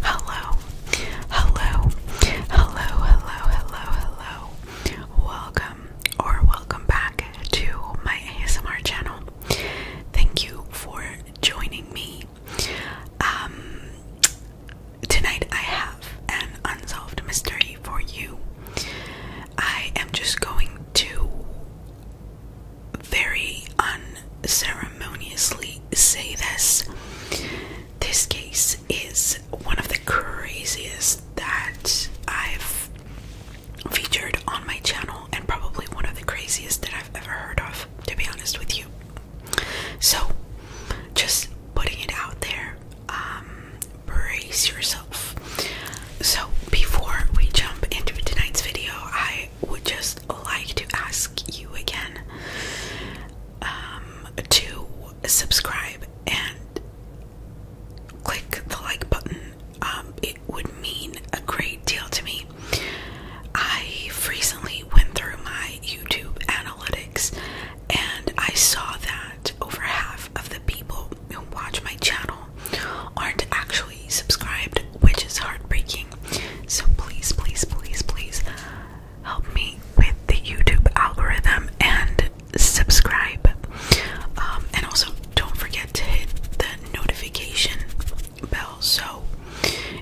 Hello, hello, hello, hello, hello, hello. Welcome or welcome back to my ASMR channel. Thank you for joining me. Um, tonight I have an unsolved mystery for you. I am just going to very unceremoniously say this. This case is one of the craziest that I've featured on my channel, and probably one of the craziest that I've ever heard of, to be honest with you. So, just putting it out there, um, brace yourself. So, before we jump into tonight's video, I I would just like to ask you again um, to subscribe and click the like button. Um, it would mean a great deal to me. I recently went through my YouTube analytics and I saw that over half of the people who watch my channel aren't actual actually subscribed, which is heartbreaking. So please, please, please, please help me with the YouTube algorithm and subscribe. Um, and also, don't forget to hit the notification bell so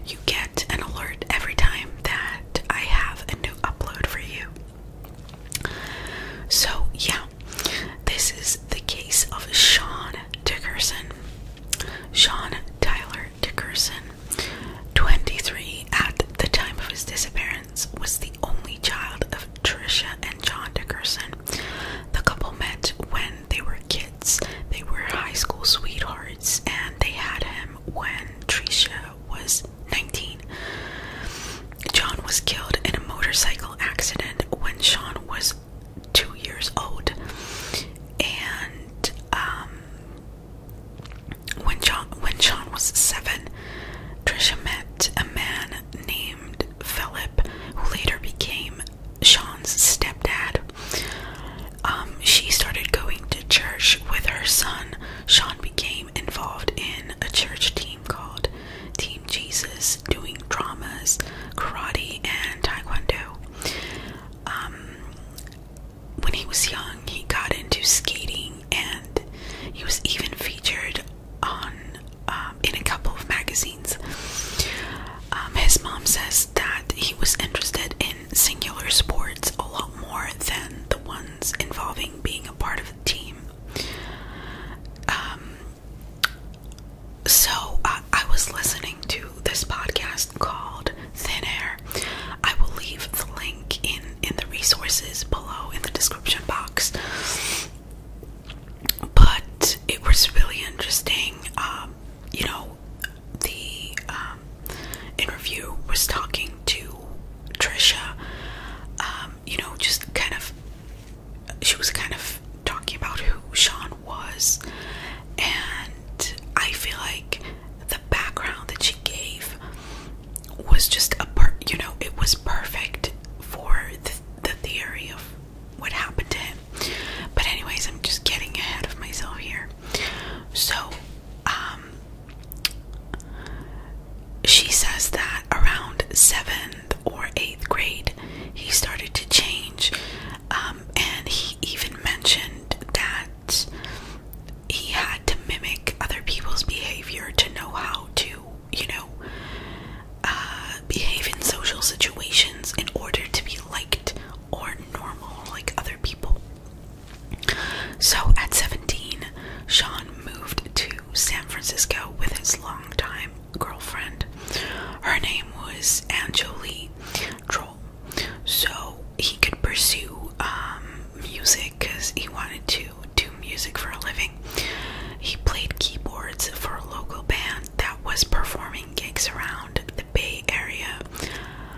you get an alert every time that I have a new upload for you. So, yeah, this is the case of Sean Dickerson. Sean Tyler Dickerson, 23 at the time of his disappearance, was the only child of Tricia and John Dickerson. The couple met when they were kids. They were high school sweethearts, and they had him when Tricia was 19. John was killed in a motorcycle accident when Sean was two years old. And um, when John when Sean was seven, Trisha met a man named Philip, who later became Sean's stepdad. Um, she started going to church with her son. Sean became involved in a church team called Team Jesus, doing dramas, karate, and taekwondo. Um, when he was young, he got into skating, and he was even featured on um, in a couple of magazines. Um, his mom says that he was interested in singular sports a lot more than the ones involving being a part of a team so I was listening to this podcast called Thin Air. I will leave the link in in the resources below in the description box. But it was really interesting. Um, you know, the um, interview was talking to Trisha. Um, you know, just kind of, she was kind of talking about who Sean was and I feel like the background that she gave was just a part, you know, it was perfect for the, theory of what happened to him. But, anyways, I'm just getting ahead of myself here. So, um, she says that around seventh or eighth grade, he started to change. Um, and he even mentioned that he had to mimic other people's behavior to know how to, you know, uh, behave in social situations in order to be liked or normal like other people. So at 17, Sean moved to San Francisco with his longtime girlfriend. Her name was Anjali Troll. So he could pursue um, music because he wanted to do music for a living. He played keyboards for a local band that was performing gigs around the Bay Area.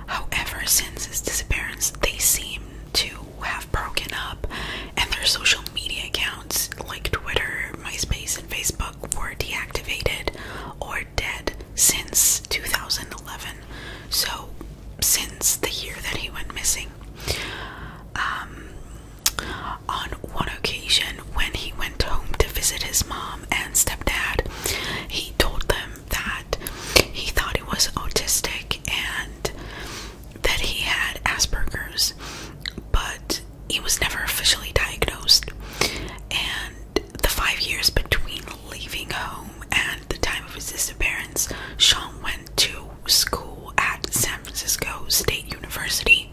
However, since his disappearance, they seem to have broken up, and their social media accounts like Twitter, MySpace and Facebook were deactivated or dead since 2011. So, since the year that he went missing. Um, on one occasion, when he went home to visit his mom and stepdad, he told them that he thought he was autistic and that he had Asperger's, but he was never officially diagnosed, and the five years between leaving home and the time of his disappearance, Sean went to school at San Francisco State University,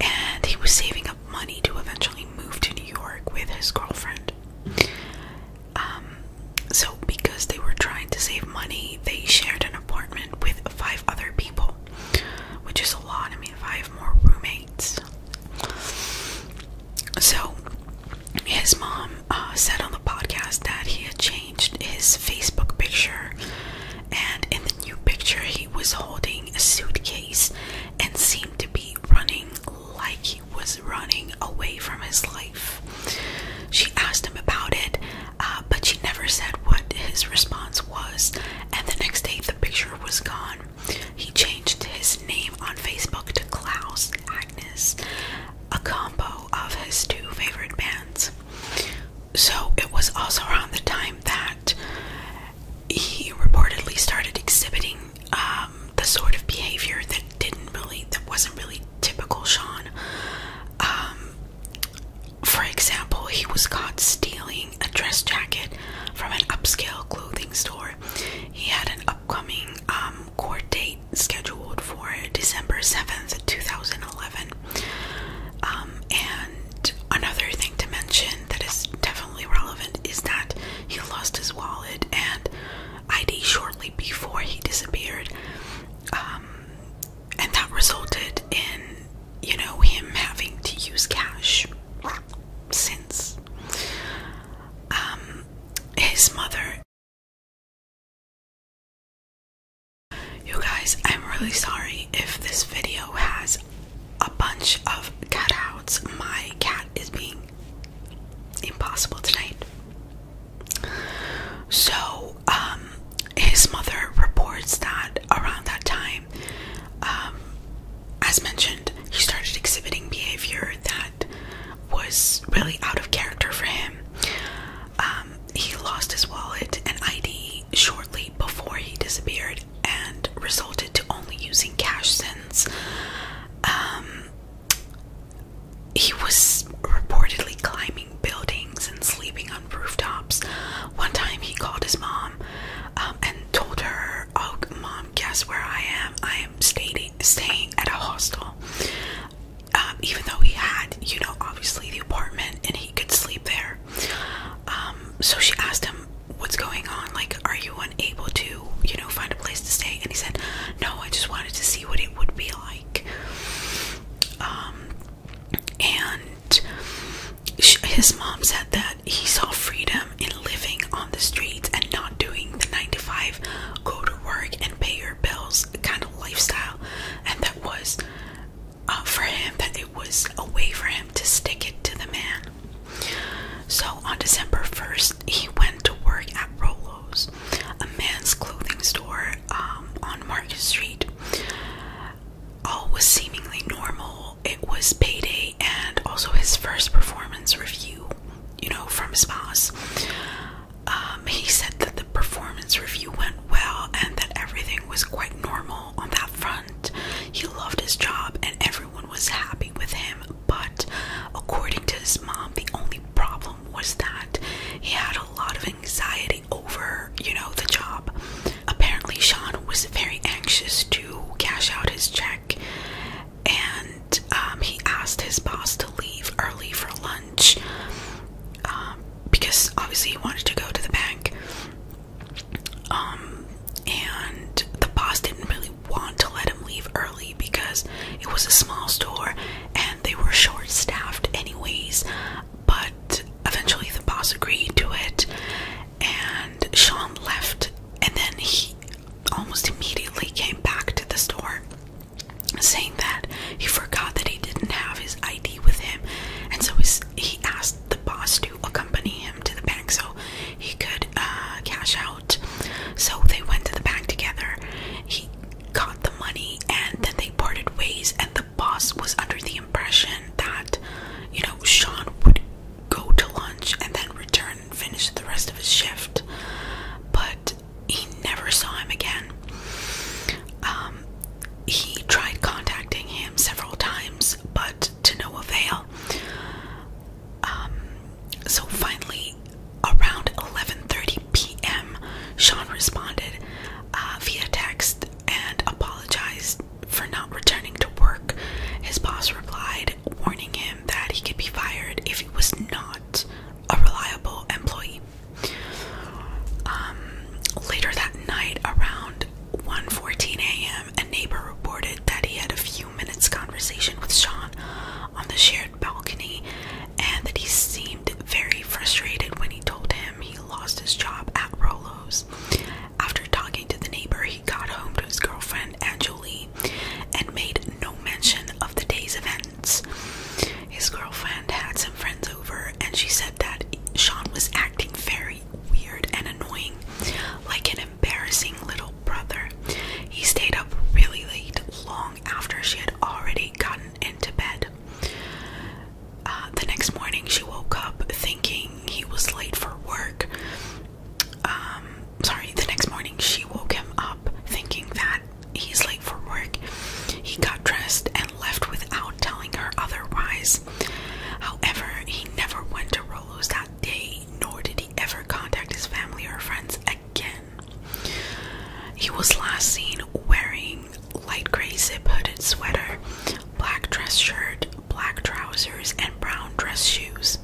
and he was saving up money to eventually move to New York with his girlfriend. Um, so because they were trying to save money, they shared an apartment with five other people which is a lot. I mean, I have more roommates. So, his mom uh, said on the podcast that he had changed his Facebook picture, and in the new picture, he was holding a suitcase and seemed to be running like he was running away from his life. She asked him about it, uh, but she never said what his response was. And the next day, the picture was gone. He changed his name on Facebook to Klaus Agnes, a combo of his two favorite bands. So it was also around the time that he reportedly started exhibiting um, the sort of behavior that didn't really, that wasn't really typical Sean. Um, for example, he was caught stealing a dress jacket from an upscale clothing store. He had an upcoming um, court date scheduled for December 7th, 2011. Um, and another thing to mention that is definitely relevant is that he lost his wallet and ID shortly before he disappeared. Um, and that resulted in you know, him having to use cash since um, his mother. You guys, I'm really sorry if this video has a bunch of cutouts. My cat is being impossible tonight. So, um, his mother reports that around that time um, as mentioned, he started exhibiting behavior that was really out of character for him. Um, he lost his wallet and ID shortly before he disappeared and resulted to only using cash since. Um, he was reportedly climbing buildings and sleeping on on rooftops. One time he called his mom um, and told her, "Oh, mom, guess where I am? I am staying staying at a hostel." Um, even though he had, you know, obviously the apartment and he could sleep there. Um, so she asked him, "What's going on? Like, are you unable to, you know, find a place to stay?" And he said, "No, I just wanted to see what it would be like." Um, and his mom said that he saw freedom in living on the streets and not doing the 9 to 5 go to work and pay your bills kind of lifestyle and that was uh, for him that it was a way for him to stick it to the man so on december 1st he went to work at rolo's a man's clothing store um, on market street all was seemingly normal it was payday and also his first performance review, you know, from his boss, um, he said that the performance review went well and that everything was quite normal on that front. He loved his job and everyone was happy with him, but according to his mom, the only problem was that he had a lot of anxiety over, you know, the job. Apparently, Sean was very anxious to cash out his check, and um, he asked his boss to leave early for lunch um, because obviously he wanted to go to the bank. Um, and the boss didn't really want to let him leave early because it was a small store and they were short staffed, anyways. But eventually, the boss agreed to it, and Sean left and then he almost immediately came back to the store saying that he forgot that he didn't have his ID with him and so he asked the boss to accompany him to the bank so he could uh, cash out. So they went to the bank together. He got the money and then they parted ways and boss was under the impression that, you know, Sean would go to lunch and then return and finish the rest of his shift, but he never saw him again. Um, he tried contacting him several times, but to no avail. Um, so finally, around 11:30 p.m., Sean responded uh, via text and apologized for not returning to work. His boss replied, warning him that he could be fired if he was not a reliable employee. Um, later that night, around 1:14 a.m., a neighbor reported that he had a few minutes conversation with Sean on the shared balcony, and that he seemed very frustrated when he told him he lost his job at Rolo's after talking to the neighbor, he got home to his girlfriend, Angelie, and made no mention of the day's events. His girlfriend had some friends over, and she said that Sean was acting very weird and annoying, like an embarrassing little brother. He stayed up really late, long after she had already gotten into bed. Uh, the next morning, she woke up thinking he was late for work. Um, sorry, the next morning, she woke him up thinking that he's late for work. He got dressed and left without telling her otherwise. However, he never went to Rolo's that day, nor did he ever contact his family or friends again. He was last seen wearing light gray zip hooded sweater, black dress shirt, black trousers, and brown dress shoes.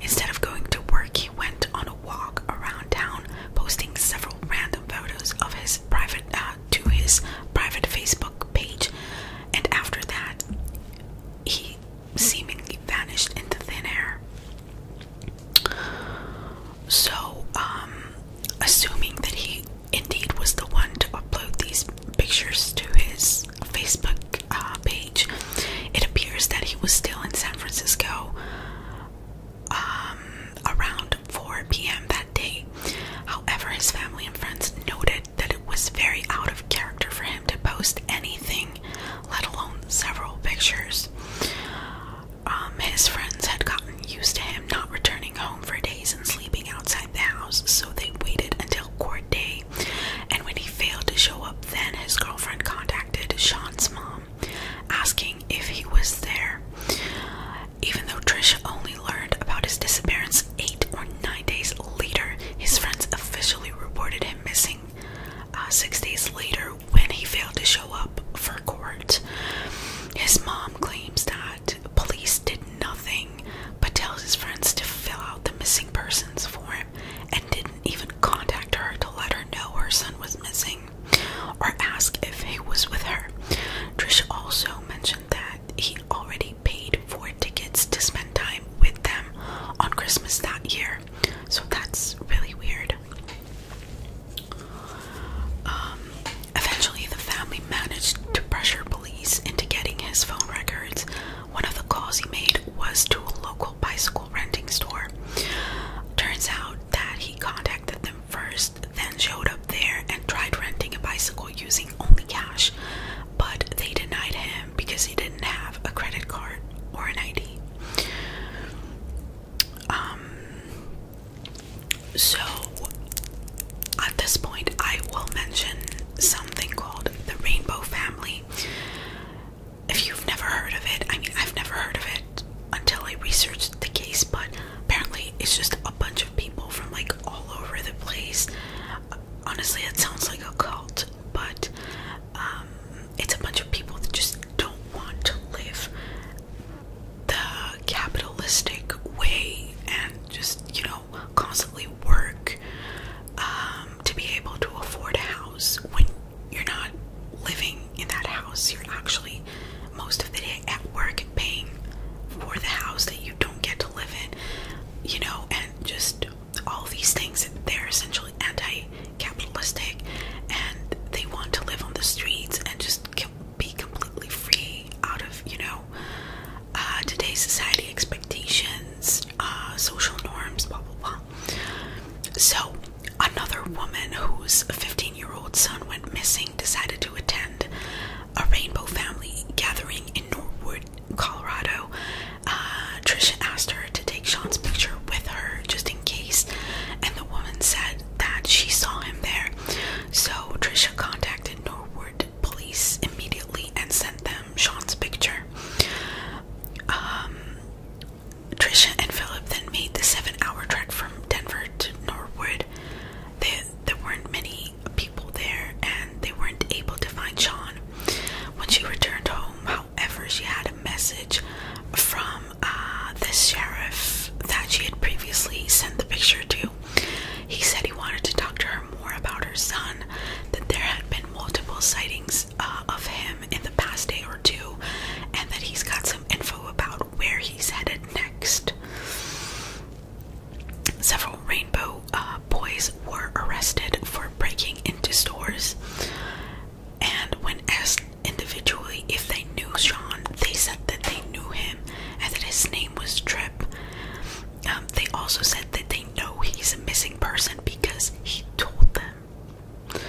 Instead of going to work, he went on a walk around town, posting several random photos of his private uh, to his private Facebook page. And after that, he seemingly vanished into thin air. So, um, assuming that he Indeed was the one to upload these pictures to his Facebook uh, page. It appears that he was still in San Francisco um, around 4 p.m. that day. However, his family and friends noted that it was very out of character for him to post anything, let alone several pictures. Um, his friends had gotten used to him not returning home for days and sleeping outside the house, so they waited until court day. And when he failed to show up, then his girlfriend contacted Sean's mom, asking if he was there. Even though Trisha only learned about his disappearance eight or nine days later, his friends officially reported him missing uh, six days later when he failed to show up for court. His mom claims that police did nothing but tell his friends to fill out the missing persons form and didn't even contact her to let her know her son was missing or ask if he was with her. Trish also mentioned that he already paid for tickets to spend time with them on Christmas that year. So that's really weird. Um, Eventually, the family managed to pressure police into getting his phone records. One of the calls he made was to a local bicycle renting store. Turns out that he contacted them first, then showed up there and tried renting a bicycle using only cash, but they denied him because he didn't have a credit card or an ID. Um, so, at this point, I will mention something called the Rainbow Family. If you've never heard of it, I mean, I've never heard of it until I researched the case, but apparently it's just a bunch of people from like all over the place. Honestly, it sounds like a cult, but um, it's a bunch of people that just don't want to live the capitalistic way and just, you know, know, constantly work um, to be able to afford a house when you're not living in that house. You're actually most of the day at work paying for the house that you don't get to live in, you know, and just all these things. They're essentially anti capitalistic and they want to live on the streets and just be completely free out of, you know, uh, today's society expectations, uh, social norms, blah blah blah. So, another woman whose 15 year old son went missing decided to attend a rainbow family gathering in Norwood, Colorado. Uh, Tricia asked her to take Sean's picture with her just in case, and the woman said that she saw him there. So, Tricia contacted Norwood police immediately and sent them Sean's picture. Um, Trisha and Philip then made the seven-hour trek from Denver to Norwood. There, there weren't many people there, and they weren't able to find Sean. When she returned home, however, she had a message from uh, the sheriff that she had previously sent the picture to. He said he wanted to talk to her more about her son, that there had been multiple sightings uh, of him in the past day or two, and that he's got some info about where he's headed next. Several Rainbow uh, boys were arrested for breaking into stores, and when asked individually if they knew Sean, they said that they knew him and that his name was Trip. Um, they also said that they know he's a missing person because he told them.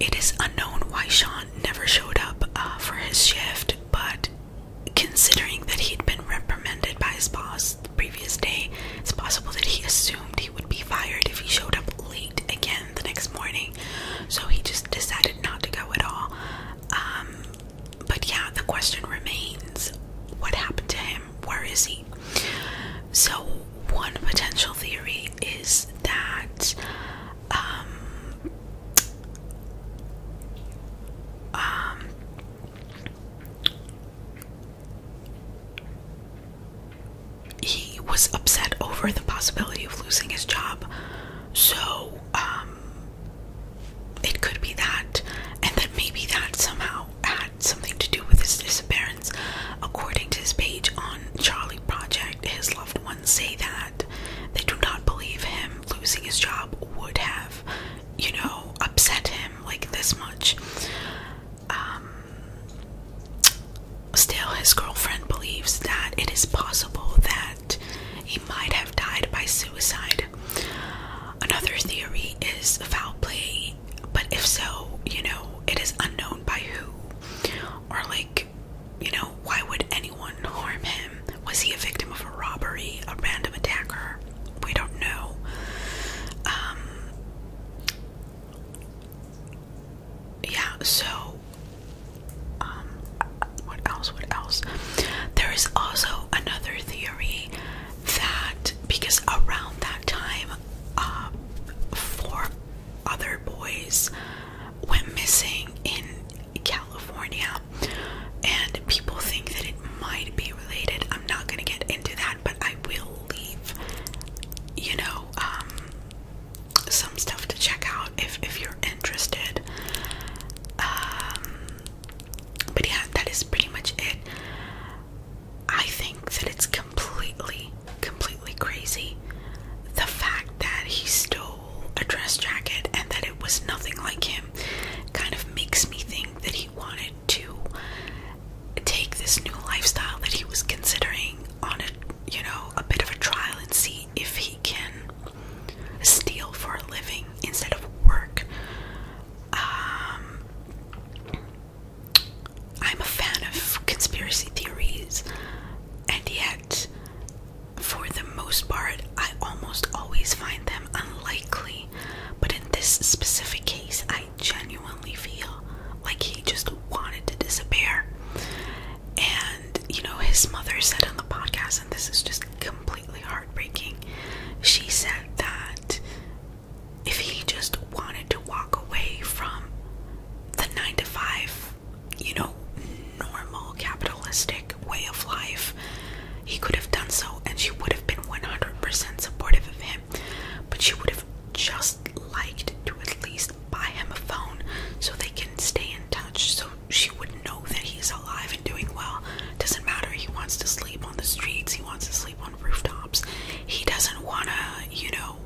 It is unknown why Sean never showed up uh, for his shift, but considering that he'd been reprimanded by his boss the previous day, it's possible that he assumed he would be fired if he showed up late again the next morning. So he just decided not to go at all. Um, but yeah, the question remains what happened to him? Where is he? So, one potential theory is that um, um, he was upset over the possibility of losing his job, so um, it could be that, and that maybe that somehow had something to do with his disappearance. According to his page on Charlie Project, his loved ones say that they do not believe him losing his job would have, you know, upset him like this much. Um, still, his girlfriend believes that it is possible that he might have died by suicide. Another theory is foul play, but if so, you know, it is unknown by who. Or, like, you know, why would anyone harm him? Was he a victim of a robbery, a random attacker? We don't know. Um, yeah, so um, what else what else there is also another theory that because around that time uh, four other boys went missing in California and people think that it might be related I'm not gonna get into that but I will leave you know um, some stuff to check out if if you're interested. Um, but yeah, that is pretty much it. I think that it's completely, completely crazy the fact that he stole a dress jacket and that it was nothing like him. Kind of makes me think that he wanted to take this new lifestyle that he was considering on a you know a bit of a trial and see if he can steal for a living instead of work. Um, I'm a fan of conspiracy theories, and yet, for the most part, I almost always find them unlikely. But in this specific case, I genuinely feel like he just wanted to disappear. And, you know, his mother said on the podcast this, is just completely heartbreaking. She said that if he just wanted to walk away from the nine to five, you know, normal capitalistic way of life, he could have done so, and she would have been 100% supportive of him. But she would have just liked to at least buy him a phone so they can stay in touch so she would know that he's alive and doing well. Doesn't matter, he wants to sleep on the streets, he wants to sleep on rooftops. He doesn't wanna, you know,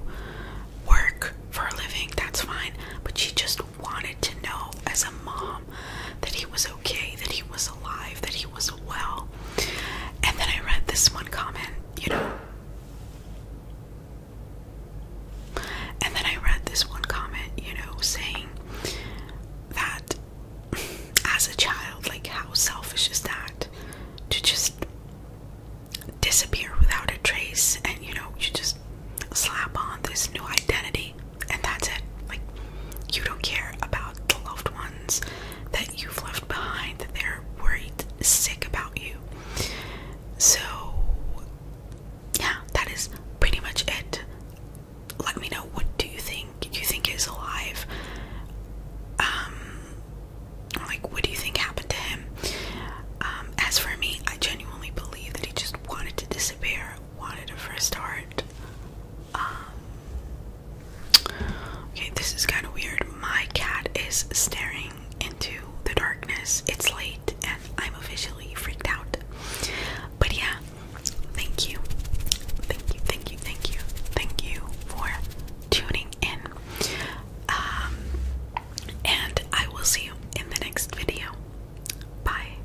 work for a living, that's fine. But she just wanted to know as a mom that he was okay, that he was alive, that he was well. And then I read this one comment, you know. And then I read this one comment, you know, saying that as a child, like, how selfish is that to just disappear without a trace and, you know, you just slap on this new identity and that's it. Like, you don't care about the loved ones that you've left behind, that they're worried, sick about you. So, yeah, that is pretty much it. Let me know what do you think you think is alive. Um like what do you think happened to him? Um, as for me, I genuinely believe that he just wanted to disappear, wanted a fresh start. Um Okay, this is kinda weird. My cat is staring into the darkness. It's late I'm officially freaked out. But yeah, thank you. Thank you, thank you, thank you, thank you for tuning in. Um, and I will see you in the next video. Bye.